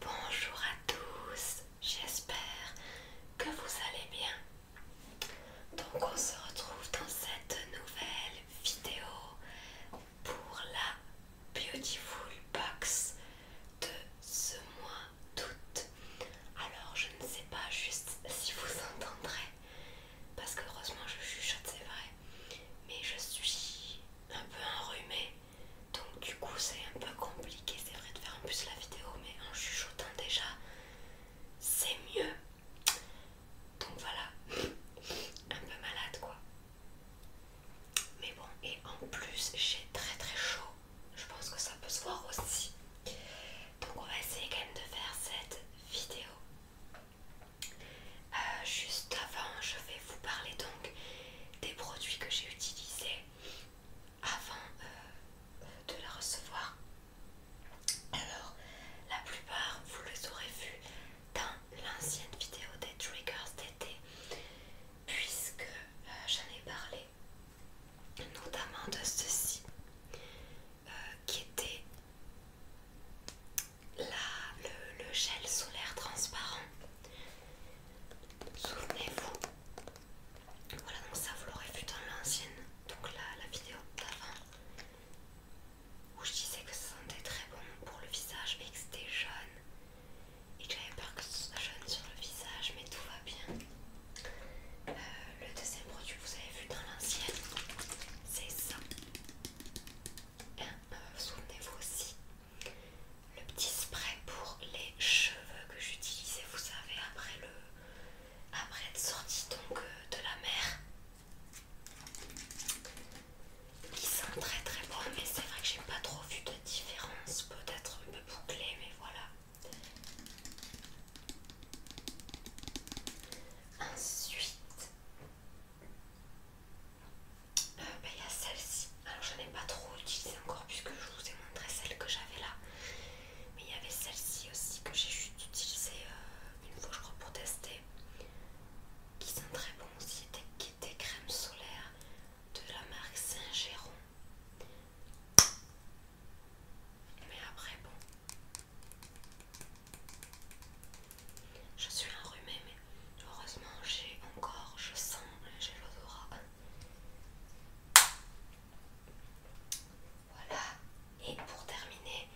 Bonjour à tous, j'espère que vous allez bien. Donc on se retrouve dans cette nouvelle vidéo pour la Beautiful Box de ce mois d'août. Alors je ne sais pas juste si vous entendrez, parce que heureusement je chuchote, c'est vrai, mais je suis un peu enrhumée donc du coup c'est un peu compliqué c'est vrai de faire en plus la vidéo mais en chuchotant déjà c'est mieux donc voilà un peu malade quoi mais bon et en plus j'ai très très chaud je pense que ça peut se voir aussi donc on va essayer quand même de faire cette vidéo euh, juste avant je vais vous parler donc des produits que j'ai utilisés avant euh, de la recevoir. Alors, la plupart, vous les aurez vus dans l'ancienne vidéo des triggers d'été, puisque euh, j'en ai parlé notamment de ceci euh, qui était le gel solaire transparent Souvenez-vous. Voilà, donc ça vous l'aurez vu dans l'ancienne, donc la, la vidéo d'avant, où je disais que ça sentait très bon pour le visage mais que c'était jaune. Et que j'avais peur que ce soit jaune sur le visage, mais tout va bien. Euh, le deuxième produit que vous avez vu dans l'ancienne, c'est ça. Euh, souvenez-vous aussi le petit spray pour les cheveux que j'utilisais vous savez après le après être sortie donc euh, de la mer qui sent très très bon mais c'est vrai que j'ai pas trop vu de différence peut-être un peu bouclé mais voilà Ensuite, il euh, bah, y a celle-ci. Alors je n'ai pas trop utilisé encore puisque je vous ai montré celle que j'avais là. Mais il y avait celle-ci aussi que j'ai juste utilisée euh, une fois je crois pour tester. Qui sont très bon aussi. qui était de la marque Saint-Géron. Mais après bon. Je suis enrhumée mais heureusement j'ai encore, je sens, j'ai l'odorat. Voilà, et pour terminer,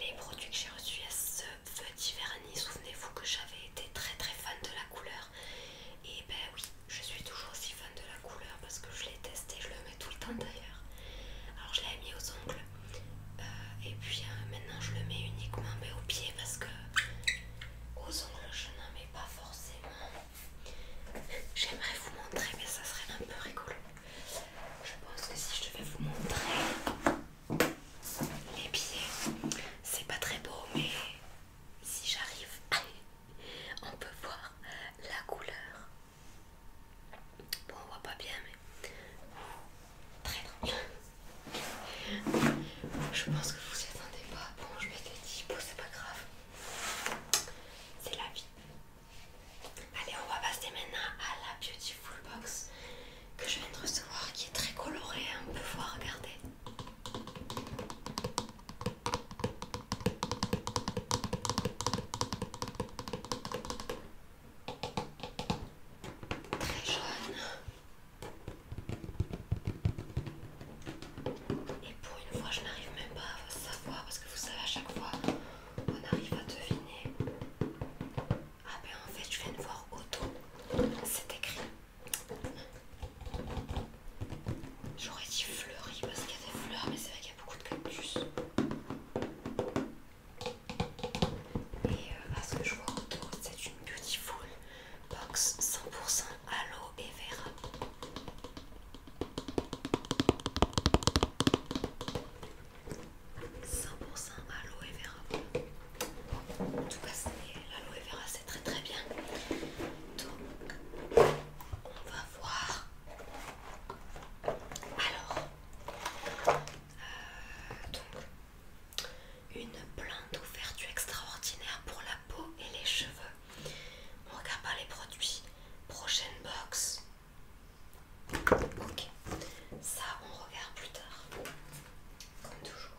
les produits que j'ai reçus à ce petit vernis, souvenez-vous que j'avais été très très fan de la couleur. Et ben oui, je suis toujours aussi fan de la couleur parce que je l'ai testé, je le mets tout le temps d'ailleurs. Alors je l'avais mis aux ongles euh, et puis euh, maintenant je le mets uniquement mais ben, aux pieds parce que aux ongles je n'en mets pas forcément. J'aimerais vous montrer mais ça serait un peu rigolo. Je pense que si je devais vous montrer les pieds, c'est pas très beau mais si j'arrive, on peut voir la couleur. Bon on voit pas bien mais très très bien. Je pense que vous y attendez pas. Bon, je m'étais dit, bon, c'est pas grave. C'est la vie. Allez, on va passer maintenant à la Beautiful Box que je viens de recevoir qui est très colorée. Hein. On peut voir, regardez. Très jaune. Et pour une fois, je n'arrive même pas à savoir parce que vous savez, à chaque fois, on arrive à deviner. Ah, ben en fait, je viens de voir auto, c'est écrit. J'aurais dit fleuri parce qu'il y a des fleurs, mais c'est vrai qu'il y a beaucoup de cactus. Et euh, à ce que je vois autour, c'est une beautiful box 100% aloe et vera. 100% pour vera. En tout cas, l'aloe vera, c'est très très bien. Donc, on va voir. Alors, euh, donc, une plante ouverture extraordinaire pour la peau et les cheveux. On regarde pas les produits. Prochaine box. Ok. Ça, on regarde plus tard. Comme toujours.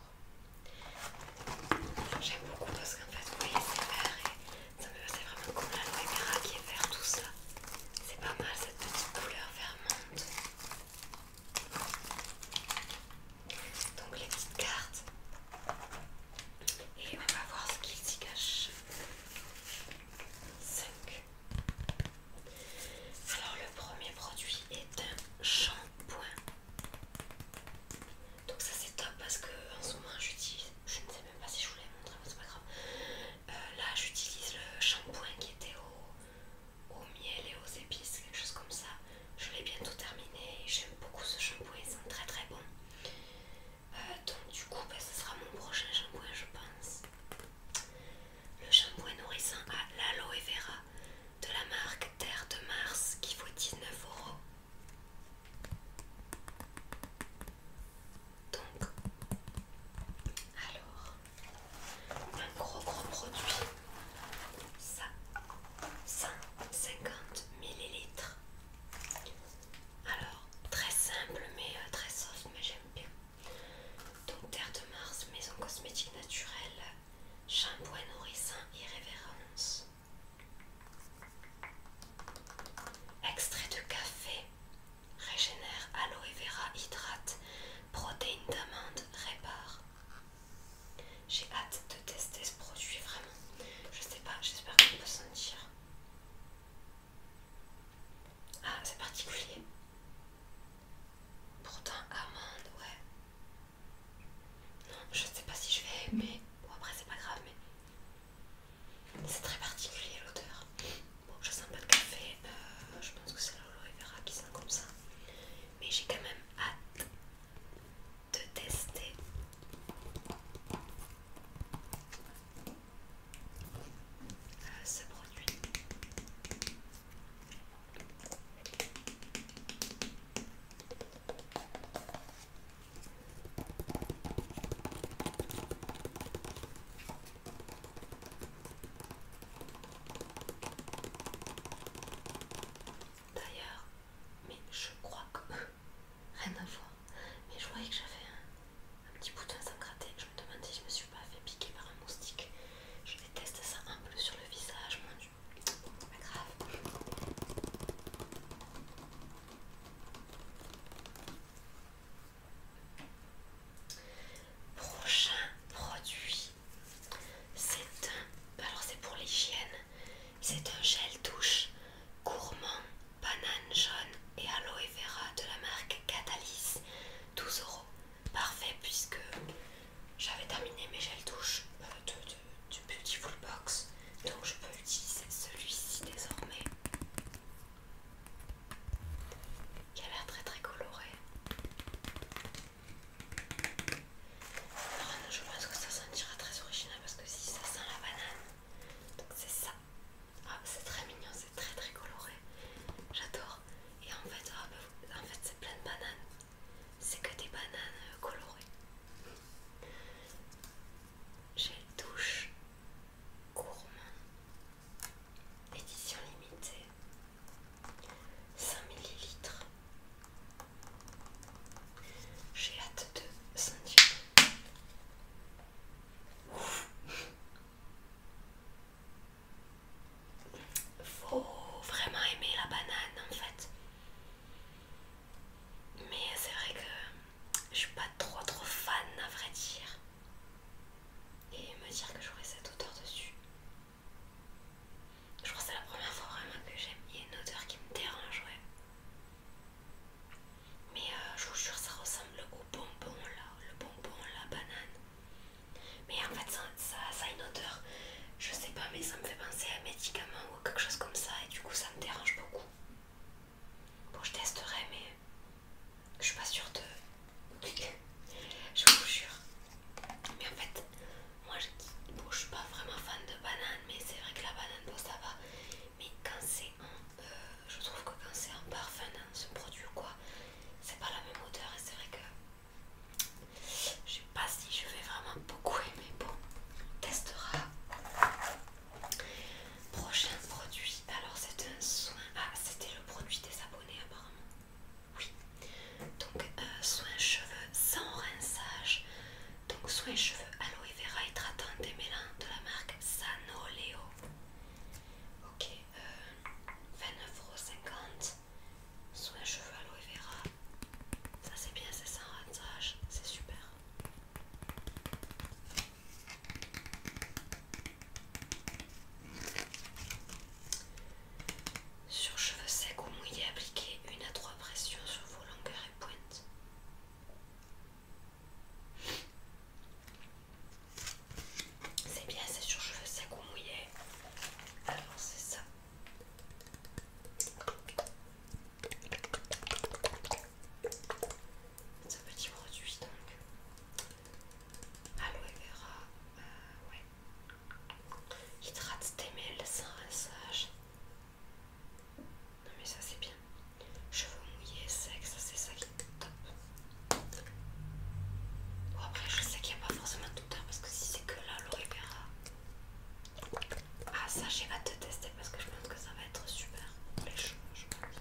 J'aime beaucoup parce qu'en fait, vous voyez, c'est vert et ça me c'est vraiment comme la caméra qui est vert, tout ça. C'est pas mal cette petite couleur vert donc les petites cartes et on va voir ce qu'il s'y cache 5 alors le premier produit est un shampoing donc ça c'est top parce que en ce moment j'utilise je ne sais même pas si je voulais montrer, mais c'est pas grave euh, là j'utilise le shampoing qui était au au miel et aux épices, quelque chose comme ça. Je l'ai bientôt terminé. J'aime beaucoup ce shampoing, c'est sont très très bon euh, donc du coup, bah, ce sera mon prochain shampoing, je pense. Le shampoing nourrissant à l'aloe vera de la marque Terre de Mars qui vaut 19 euros. Donc, alors, un gros gros produit ça 150 ml alors très simple mais euh, très soft mais j'aime bien donc terre de mars maison cosmétique naturelle shampoing nourrissant irrévérence extrait de café régénère aloe vera hydrate protéines d'amande répare j'ai hâte de tester ce produit vraiment. Je sais pas, j'espère qu'on peut sentir. Ah, c'est particulier. Pourtant, amande, ouais. Non, je sais pas si je vais aimer. Bon, après, c'est pas grave, mais c'est très particulier l'odeur. Bon, je sens pas de café. Euh, je pense que c'est et vera qui sent comme ça. Mais j'ai quand même hâte de tester euh, ce produit. D'ailleurs, mais je crois que rien à voir. Mais je voyais que j'avais un, petit bouton sans gratter. Je me demandais si je me suis pas fait piquer par un moustique. Je déteste ça un peu sur le visage, mon dieu. Pas grave. Prochain produit, c'est un. Alors c'est pour l'hygiène. C'est un gel douche gourmand, banane jaune et aloe vera de la marque Catalyse, 12 euros. Parfait puisque j'avais terminé mes gels douche euh, du Beautiful Box, donc je peux utiliser celui-ci désormais. qui a l'air très très coloré je pense que ça sentira très original parce que si ça sent la banane, donc c'est ça. Ah, c'est très mignon, c'est très très coloré. J'adore. Et en fait, ah, en fait c'est plein de bananes. C'est que des bananes euh, colorées. J'ai douche gourmand. Édition limitée. 5 ml. J'ai hâte de sentir. Faut vraiment aimer la banane en fait. Mais c'est vrai que je suis pas trop trop fan à vrai dire. Et me dire que j'aurais cette odeur dessus. Je crois que c'est la première fois vraiment que j'aime. Il y a une odeur qui me dérange, ouais. Mais euh, je vous jure, ça ressemble au bonbon là, le bonbon, la banane. Mais en fait, ça, ça, a une odeur, je sais pas, mais ça me fait penser à un médicament ou quelque chose comme ça, et du coup, ça me dérange beaucoup. Bon, je testerai, mais je suis pas sûre de. je vous jure. Mais en fait, moi je, ne suis pas vraiment fan de banane, mais c'est vrai que la banane, ça va. Mais quand c'est un, euh, je trouve que quand c'est un parfum dans ce produit ou quoi, c'est pas la même odeur et c'est vrai que je sais pas si je vais vraiment beaucoup aimer. Bon, on testera. Prochain produit, alors c'est un soin. Ah, c'était le produit des abonnés apparemment. Oui, donc euh, soin cheveux sans rinçage donc soin cheveux aloe vera et des démêlant de la marque Sanoleo. Ok, euh, 29,50€. Soin cheveux aloe vera. Ça c'est bien, c'est sans rasage, c'est super. Sur cheveux secs ou mouillés, appliquez une à trois pressions sur vos longueurs et pointes. C'est bien, c'est sur cheveux secs ou mouillés. Alors c'est ça. C'est un petit produit donc. Aloe vera, euh, ouais. Hydrate tes mêles, sans rinçage non mais ça c'est bien. Cheveux mouillés, sexe, c'est ça qui est top. Bon après je sais qu'il n'y a pas forcément de douteur parce que si c'est que là l'aurait Ah ça j'ai pas de tester parce que je pense que ça va être super pour les cheveux je pense.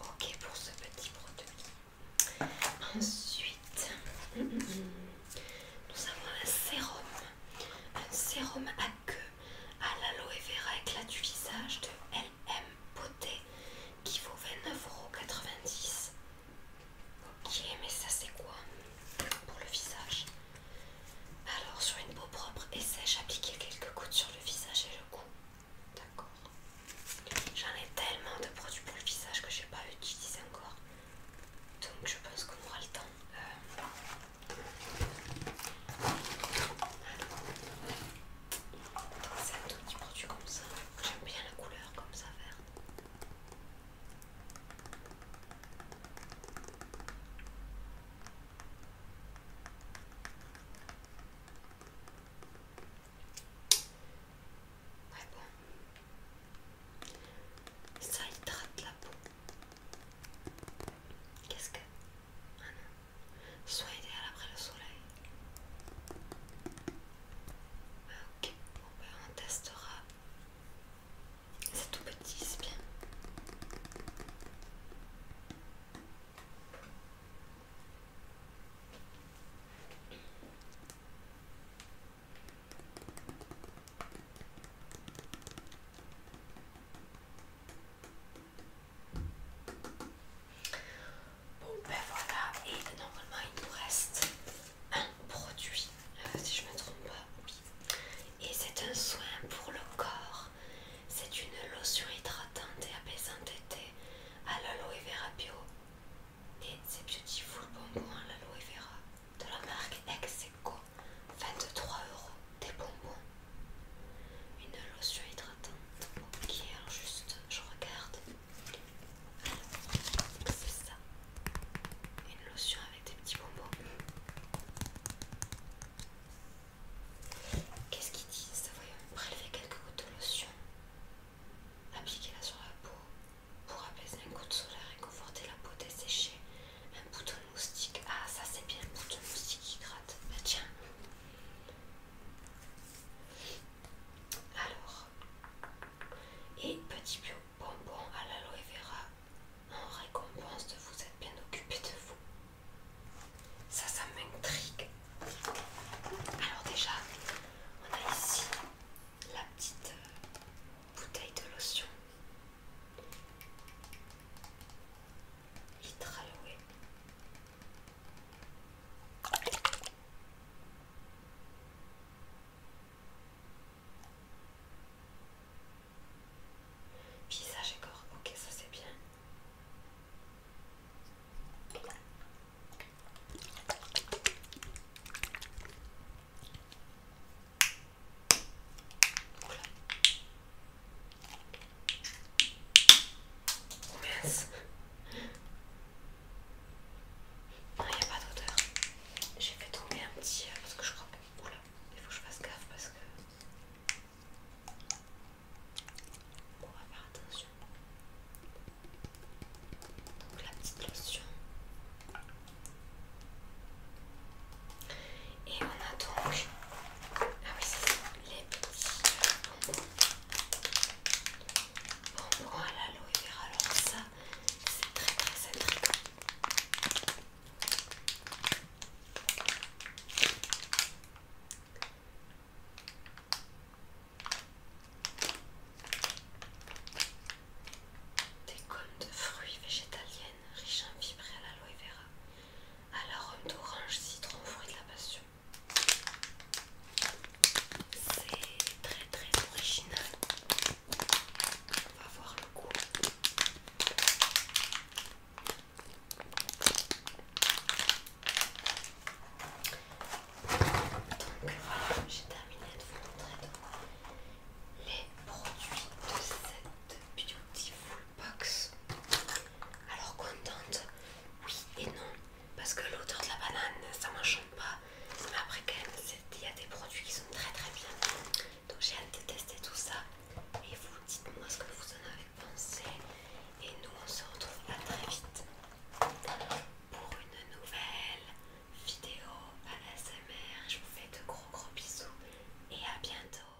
Ok pour ce petit produit. Ensuite, mm, mm, mm. nous avons un sérum, un sérum à queue à l'aloe vera éclat du visage de LM Beauté qui vaut 29,90€. Ok, mais ça c'est quoi pour le visage Alors, sur une peau propre et sèche, appliquer quelques gouttes sur le visage et le cou. D'accord. J'en ai tellement de produits pour le visage que j'ai pas utilisé encore. Donc je pense qu'on aura le temps. Euh, c'est un tout petit produit comme ça. J'aime bien la couleur comme ça vert. Ouais, bon. Ça hydrate la peau. Qu'est-ce que... Soit idéal après le soleil. Ok, ben, on testera. C'est tout petit, c'est bien. Bon ben voilà, et normalement il nous reste un produit, euh, si je me trompe pas, Et c'est un soin pour le corps, c'est une lotion hydratante et apaisante d'été à l'aloe vera bio. Et c'est beautiful bonbon à l'aloe vera de la marque Execo, 23 euros des bonbons. Une lotion hydratante. Ok, alors juste, je regarde. c'est ça. Une lotion avec des petits bonbons. Qu'est-ce qu'ils disent Voyons, prélever quelques gouttes de lotion. Appliquez-la sur la peau pour apaiser un coup de soleil, et conforter la peau desséchée. Un bouton de moustique. Ah, ça c'est bien, un bouton moustique qui gratte. Bah tiens, alors, et petit bio bonbon à l'aloe vera en récompense de vous être bien occupé de vous. Ça, ça m'intrigue. Alors déjà, on a ici la petite euh, bouteille de lotion. Litre alloué. Visage et corps, ok, ça c'est bien. Oula. Mince. Non, il n'y a pas d'odeur. J'ai fait tomber un petit. Euh, parce que je crois que. là. il faut que je fasse gaffe parce que. On va faire attention. Donc la petite lotion. Et on a donc ah oui, c'est les petits bonbons à l'aloe vera. Alors ça, c'est très très bon. Des gommes de fruits végétaliennes riches en fibres à l'aloe vera à la d'orange citron fruit de la passion. C'est très très original. On va voir le goût. Donc voilà, j'ai terminé de vous montrer les produits de cette Beautiful box. Alors contente, oui et non, parce que l'odeur de la banane ça m'enchante pas. Mais après quand il y a des produits qui sont très très bien. Donc j'ai hâte de tester tout ça. Et vous dites-moi ce que vous en avez pensé. Et nous on se retrouve à très vite pour une nouvelle vidéo ASMR. Je vous fais de gros gros bisous et à bientôt.